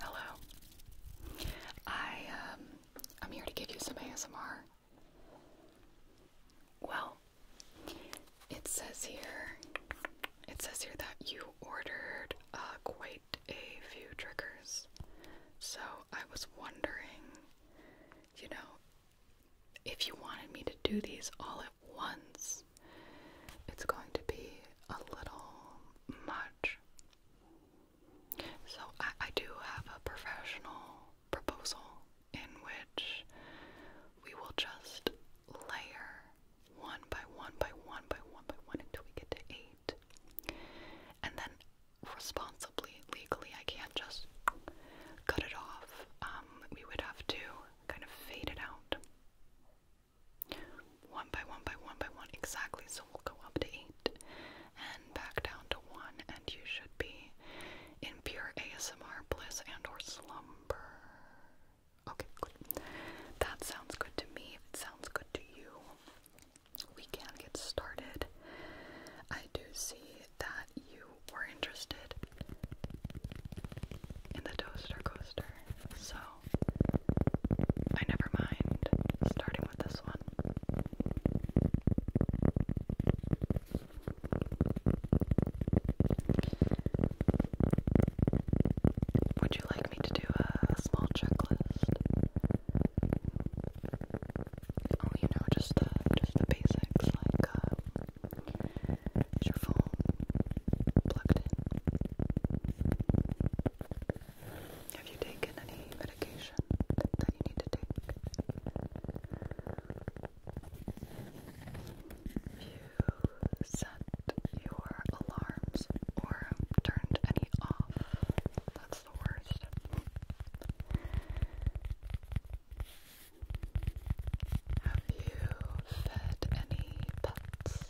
Hello. I um I'm here to give you some ASMR. Well, it says here it says here that you ordered uh, quite a few triggers. So I was wondering, you know, if you wanted me to do these all at once because it's going to be a little much. So, I, I do have a professional proposal in which we will just layer one by one by one by one by one until we get to eight. And then, responsibly, legally, I can't just cut it off. Um, we would have to kind of fade it out. One by one by one by one, exactly. So we'll go up to eight and back down to one, and you should be in pure ASMR bliss and/or slumber. Okay, good. That sounds good to me. If It sounds good to you. We can get started. I do see that you were interested in the toaster coaster, so Oh, I never mind starting with this one. Would you like me to do a small checklist? Oh, you know, just the just the basics like uh, is your phone plugged in? Have you taken any medication that you need to take? You set your alarms or turned any off. That's the worst. Have you fed any pets?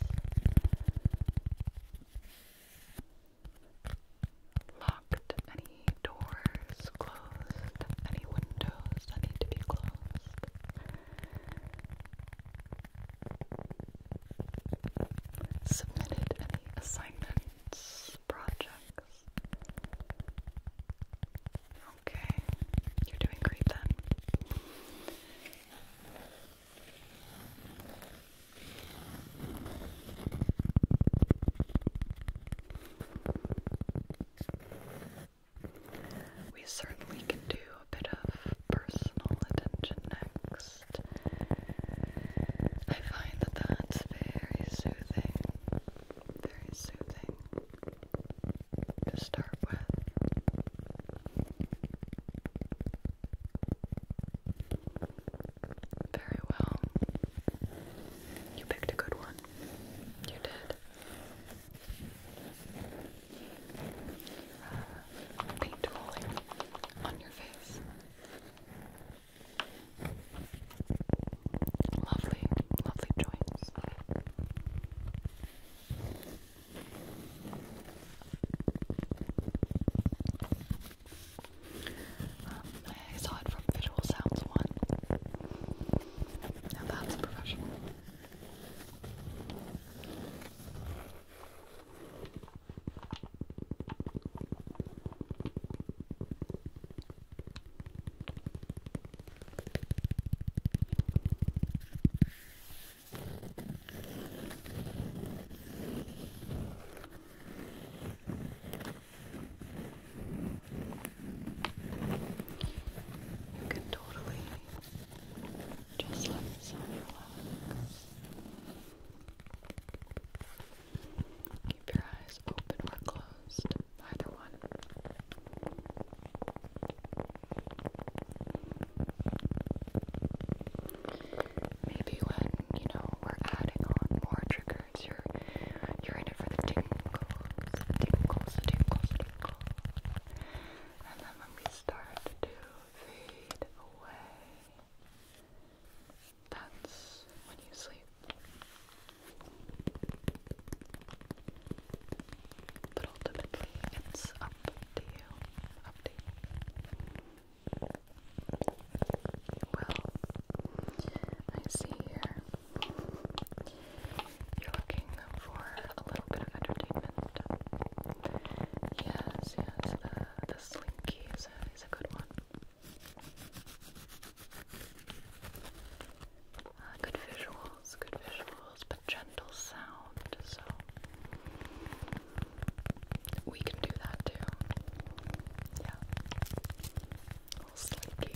Locked any doors, closed any windows that need to be closed. Submitted any assignments, projects. Okay, you're doing great then. We certainly can do a bit of personal attention next. I find that that's very soothing, very soothing to start with. Very well. You picked a good one. You did. Uh, paint rolling on your face. Lovely, lovely joints. Um, I saw it from Visual Sounds One. Now that's professional. You can totally just let yourself relax. Keep your eyes open or closed, either one maybe when, you know, we're adding on more triggers, you're you're in it for the tingles, tingles, tingles, tingles. And then when we start to fade away, that's when you sleep. But ultimately, it's up to you. Up to you. Well, I see here you're looking for a little bit of entertainment. Yes, yes, the, the slinky is a, is a good one. Uh, good visuals, good visuals, but gentle sound, so we can do that too. Yeah. A little slinky.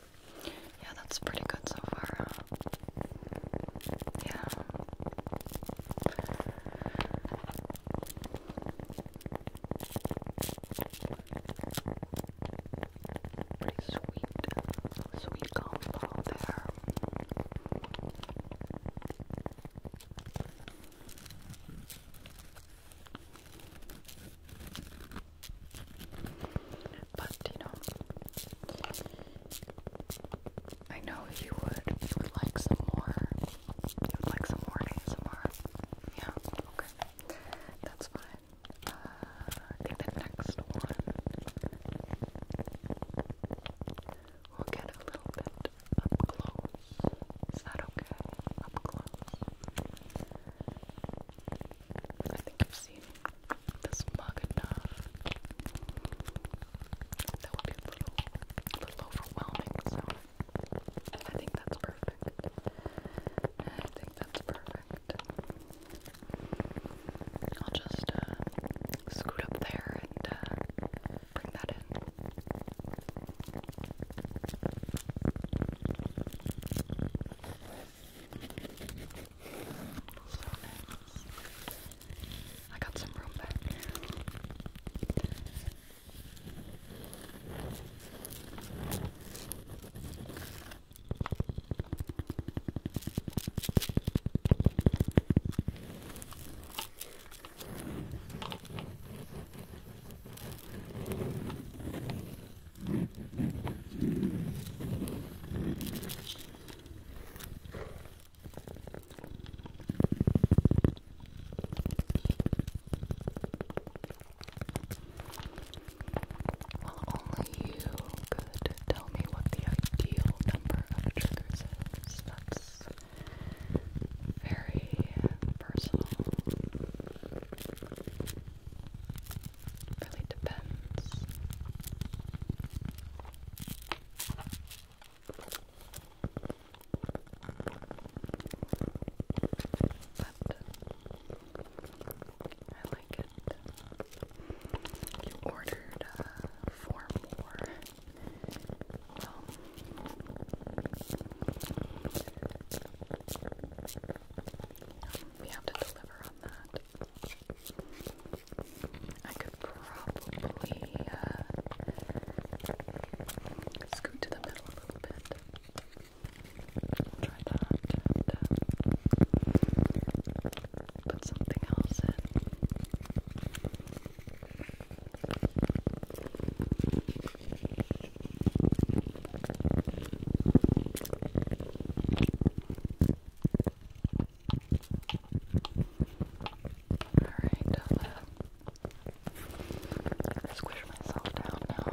Yeah, that's pretty good so far. Yeah. Pretty sweet, sweet combo there. But you know, I know you would. You would like some more. You would like some more ASMR. Yeah, okay. That's fine. Uh, the next one we'll get a little bit up close. Is that okay? Up close. I think you've seen this mug enough. That would be a little, little overwhelming, so I think that's perfect. I think that's perfect. I'll just uh, scoot up there and uh, bring that in. So nice. I got some room back there. Well, only you could tell me what the ideal number of triggers is. That's very personal really depends. But I like it. You ordered uh, four more. Well, we have to deliver on that. I could probably uh, scoot to the middle a little bit. try that uh, put something else in. Alright, i uh, squish myself down now.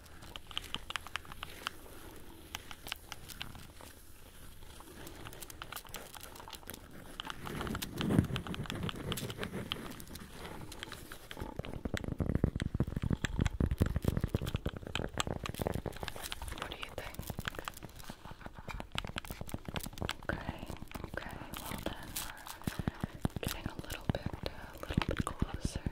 What do you think? Okay, okay, well then getting a little bit, uh, a little bit closer.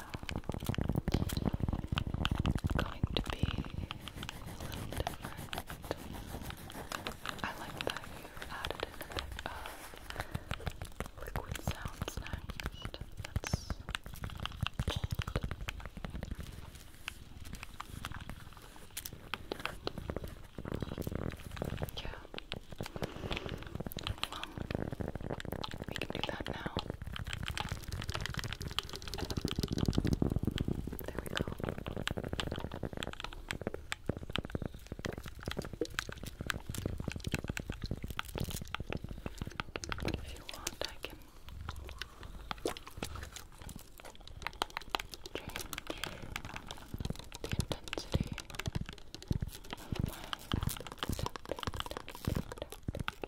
going to be different. I like that you added in a liquid sounds next. Yeah. We can do that now. There we go. If you want, I can change the intensity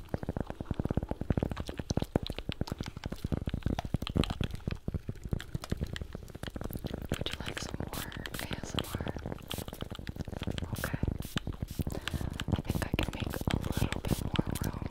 Would you like some more ASMR? Okay. I think I can make a little bit more room.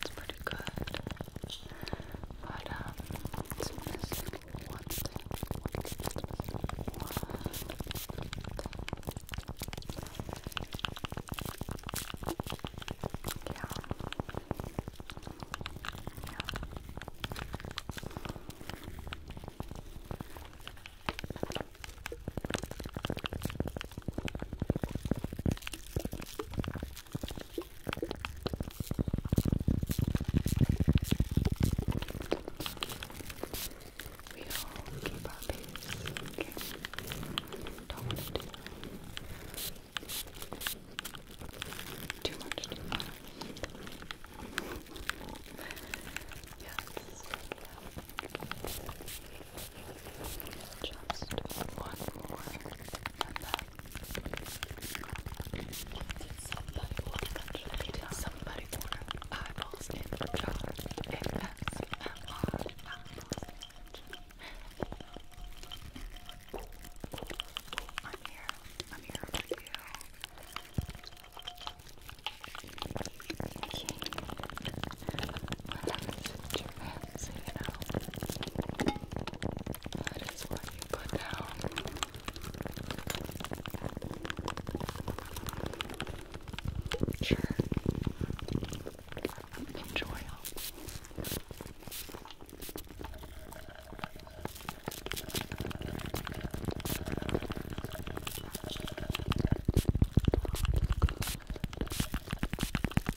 It's pretty good. But um it's missing one Yeah. Yeah. We all keep our pace, okay? Don't want to do too much to Yes. Just one more. Did somebody order eyeballs in the jar? ASMR eyeballs in the jar. I'm here. I'm here with you. Okay. What happened to the your fancy, you know. That is what you put down. Sure. Enjoy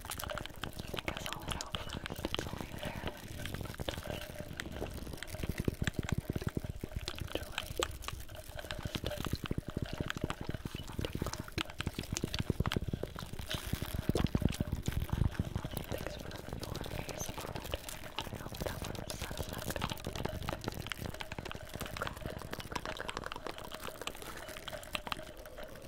I guess I'll let out first. It's only there. Thanks for the door. I hope that was satisfactory. Okay. Okay. Okay.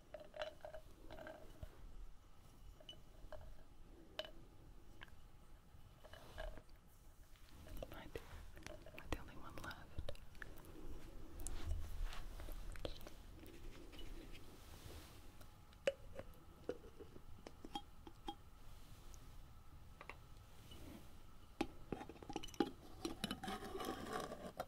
My dear, am I the only one left?